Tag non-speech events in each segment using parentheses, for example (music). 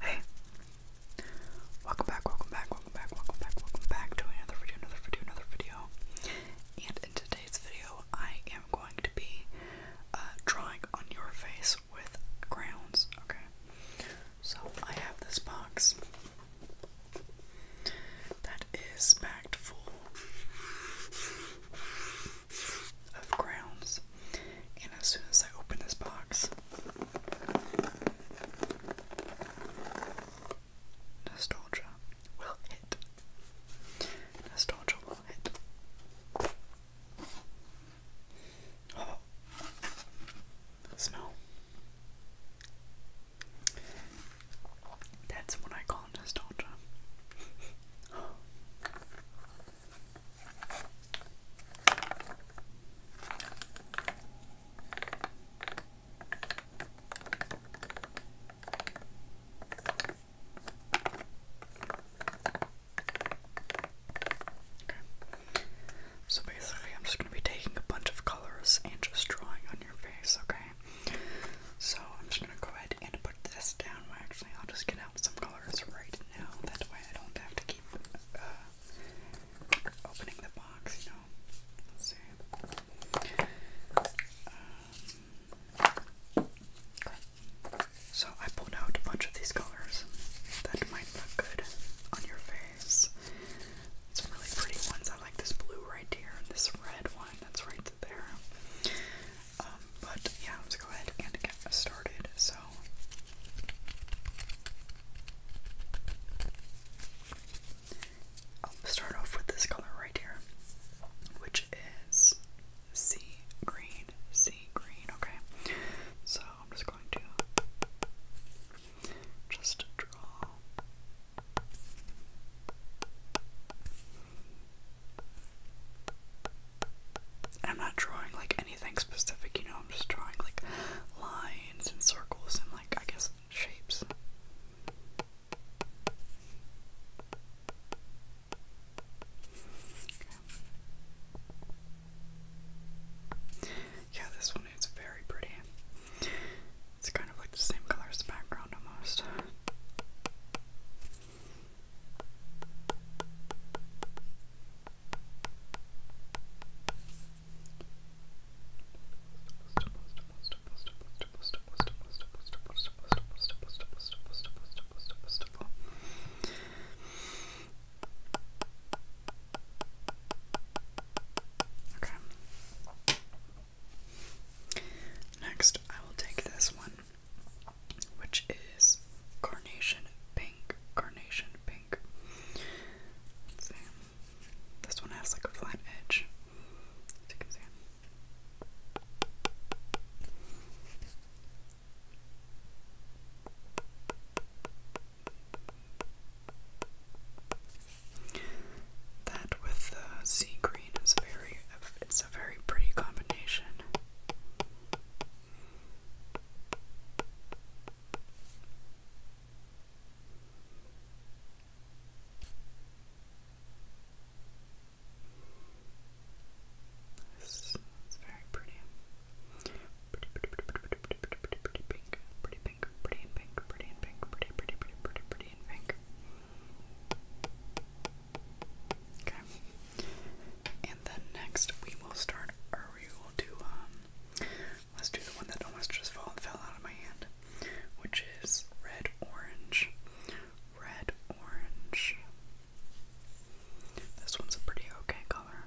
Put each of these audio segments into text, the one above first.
Hey, welcome back, welcome back, welcome back, welcome back, welcome back to another video, another video, another video. And in today's video, I am going to be uh, drawing on your face with crayons. Okay, so I have this box. That is packed full of grounds. And as soon as I open this box, nostalgia will hit. Nostalgia will hit. Oh, smell. That's what I call nostalgia. Okay. So basically, I'm just going to be taking a bunch of colors and just drawing on your face, okay? So I'm just gonna go ahead and put this down. actually, I'll just get out some colors right now. That's why I don't have to keep uh, opening the box, you know. Let's see. Um, so I pulled out a bunch of these colors that might look good on your face. Some really pretty ones. I like this blue right here and this red one that's right there. Um, but yeah, let's go ahead and get started. So I'll start off with this color right here, which is sea green, sea green, okay? So I'm just going to just draw I'm not drawing like anything specific, you know, I'm just drawing like lines and circles and like, I guess, shapes. Yeah, this one is very pretty. It's kind the same color as the background almost. Okay. Next, I will take this one, which is Carnation Pink. Carnation Pink. see. This one has like a flat edge. That with the sea green is very, it's a very pretty combination. This is very pretty. Pretty, pretty, pretty, pretty, pretty, pink, pretty and pink, pretty and pink, pretty, pretty, pretty, pretty and pink. Okay. And then next we will start, or we will do, um, let's do the one that almost just fell, fell out of my hand, which is red, orange, red, orange. This one's a pretty okay color.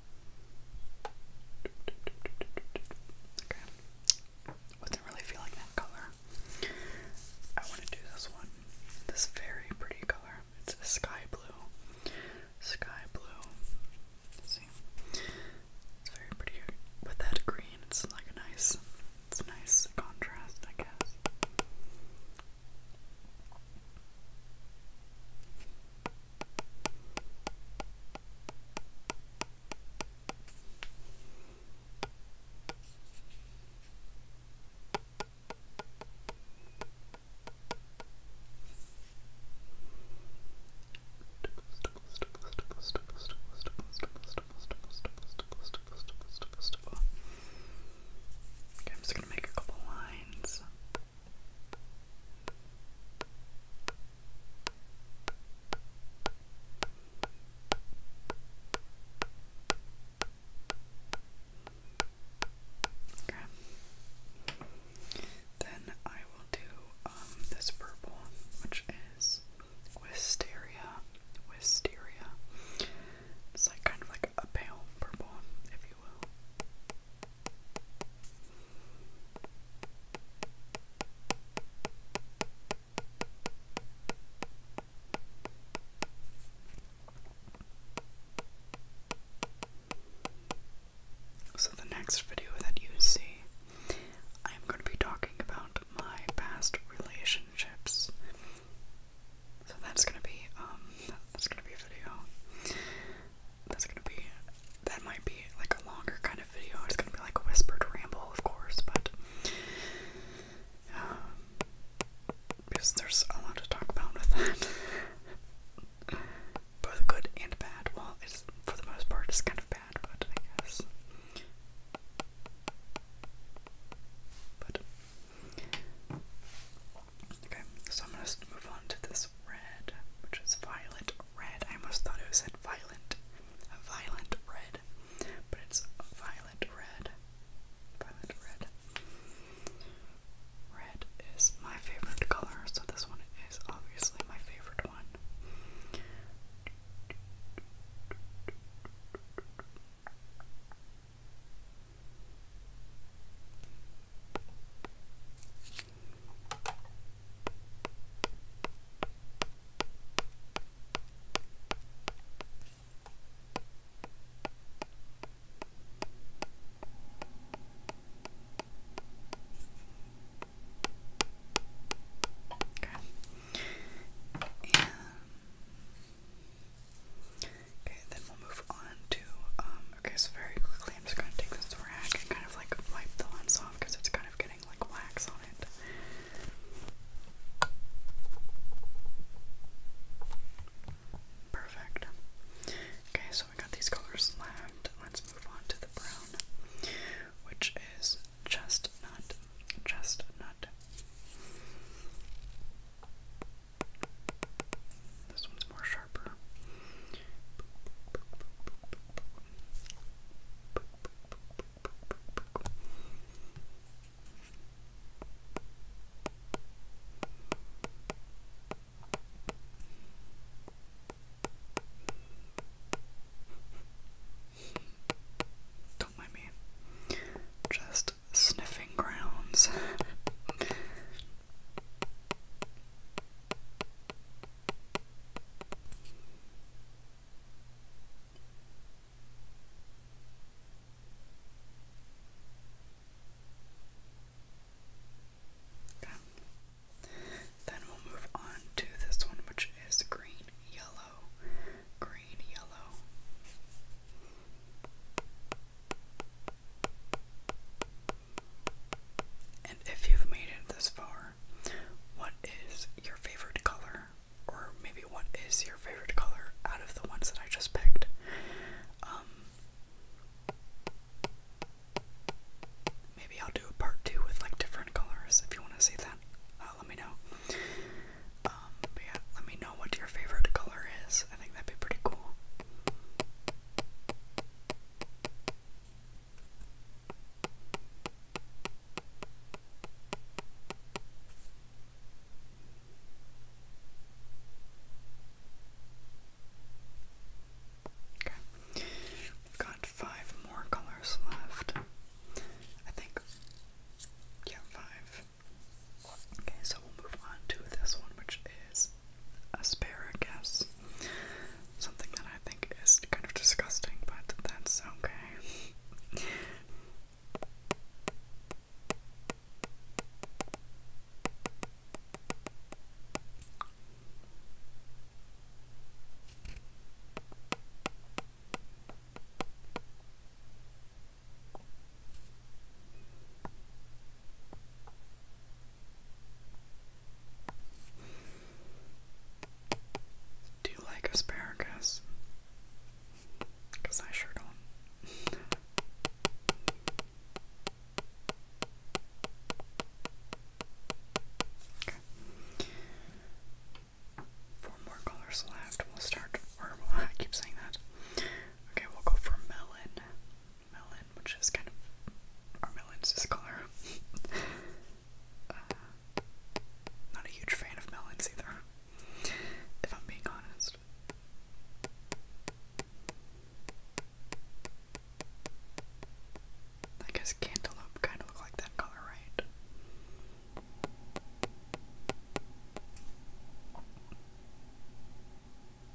Okay. Wasn't really feeling that color. I want to do this one. This very pretty color. It's a sky blue. Sky blue. See? It's very pretty with that green. It's like a nice it's a nice contrast, I guess. Okay, I'm just gonna make a couple lines. Okay. Then I will do um this purple, which is wisteria. Wisteria. It's like kind of like a pale purple, if you will. So, the next video that you see, I'm going to be talking about my past relationships. So that's gonna be um that's gonna be a video that's gonna be that might be like a longer kind of video. It's gonna be like a whispered ramble, of course, but um, because there's a lot to talk about with that, (laughs) both good and bad. Well, it's for the most part, it's kind of bad, but I guess. okay, so I'm gonna move on to this red, which is violet red. I almost thought it said violent, violent red, but it's violet red. Violet red. Red is my favorite color, so this one is obviously my favorite one. Okay. And okay, then we'll move on to um Okay, so very quickly, I'm just going to take this rag and kind of like wipe the lens off because it's kind of getting like wax on it. Perfect. Okay, so we got these colors left. Let's move on to the brown, which is chestnut. Chestnut. This one's more don't mind me. Just sniffing grounds. (laughs) Then we'll move on to this one, which is green, yellow, green, yellow. And if you've made it this far, what is your favorite color? Or maybe what is your favorite color out of the ones that I just picked? Um, maybe I'll do a part two with like different colors if you want to see that. Uh, let me know. Um, but yeah, let me know what your favorite color is. I think that'd be pretty cool. Okay, we've got five more colors left. I think, yeah, five. Okay, so we'll move on to this one, which is I guess. Something that I think is kind of disgusting, but that's okay. Do you like asparagus? Because I sure don't. okay. Four more colors left. We'll start, (laughs) I keep saying that. Okay, we'll go for melon melon, which is kind of our melon's this color. (laughs) Uh, not a huge fan of melons either, if I'm being honest. I guess cantaloupe kind of look like that color, right?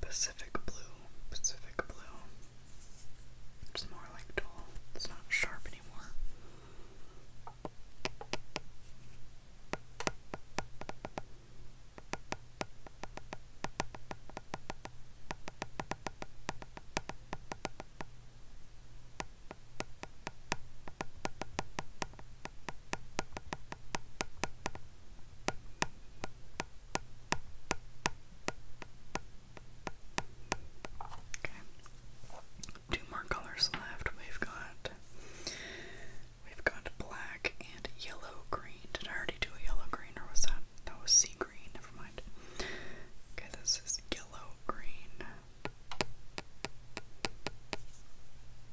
Pacific blue, Pacific blue. It's more like dull. It's not sharp anymore. Okay. Two more colors left. We've got we've got black and yellow green. Did I already do a yellow green or was that that was sea green? Never mind. Okay, this is yellow green.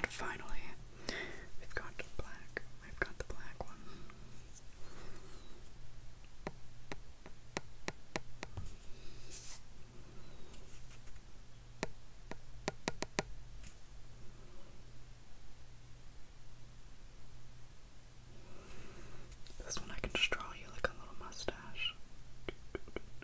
and finally, we've got the black. I've got the black one. This one I can just draw you like a little mustache.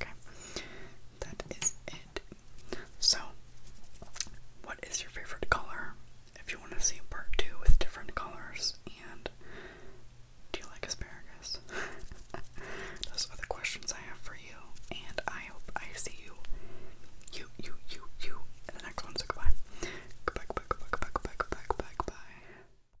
Okay, that is it. So, what is your favorite color? If you want to see part two with different colors, and do you like asparagus? (laughs) Those are the questions I have for you, and I hope I see you, you, you, you, you, the next one. goodbye, goodbye, goodbye, goodbye, goodbye, goodbye, goodbye, goodbye. goodbye.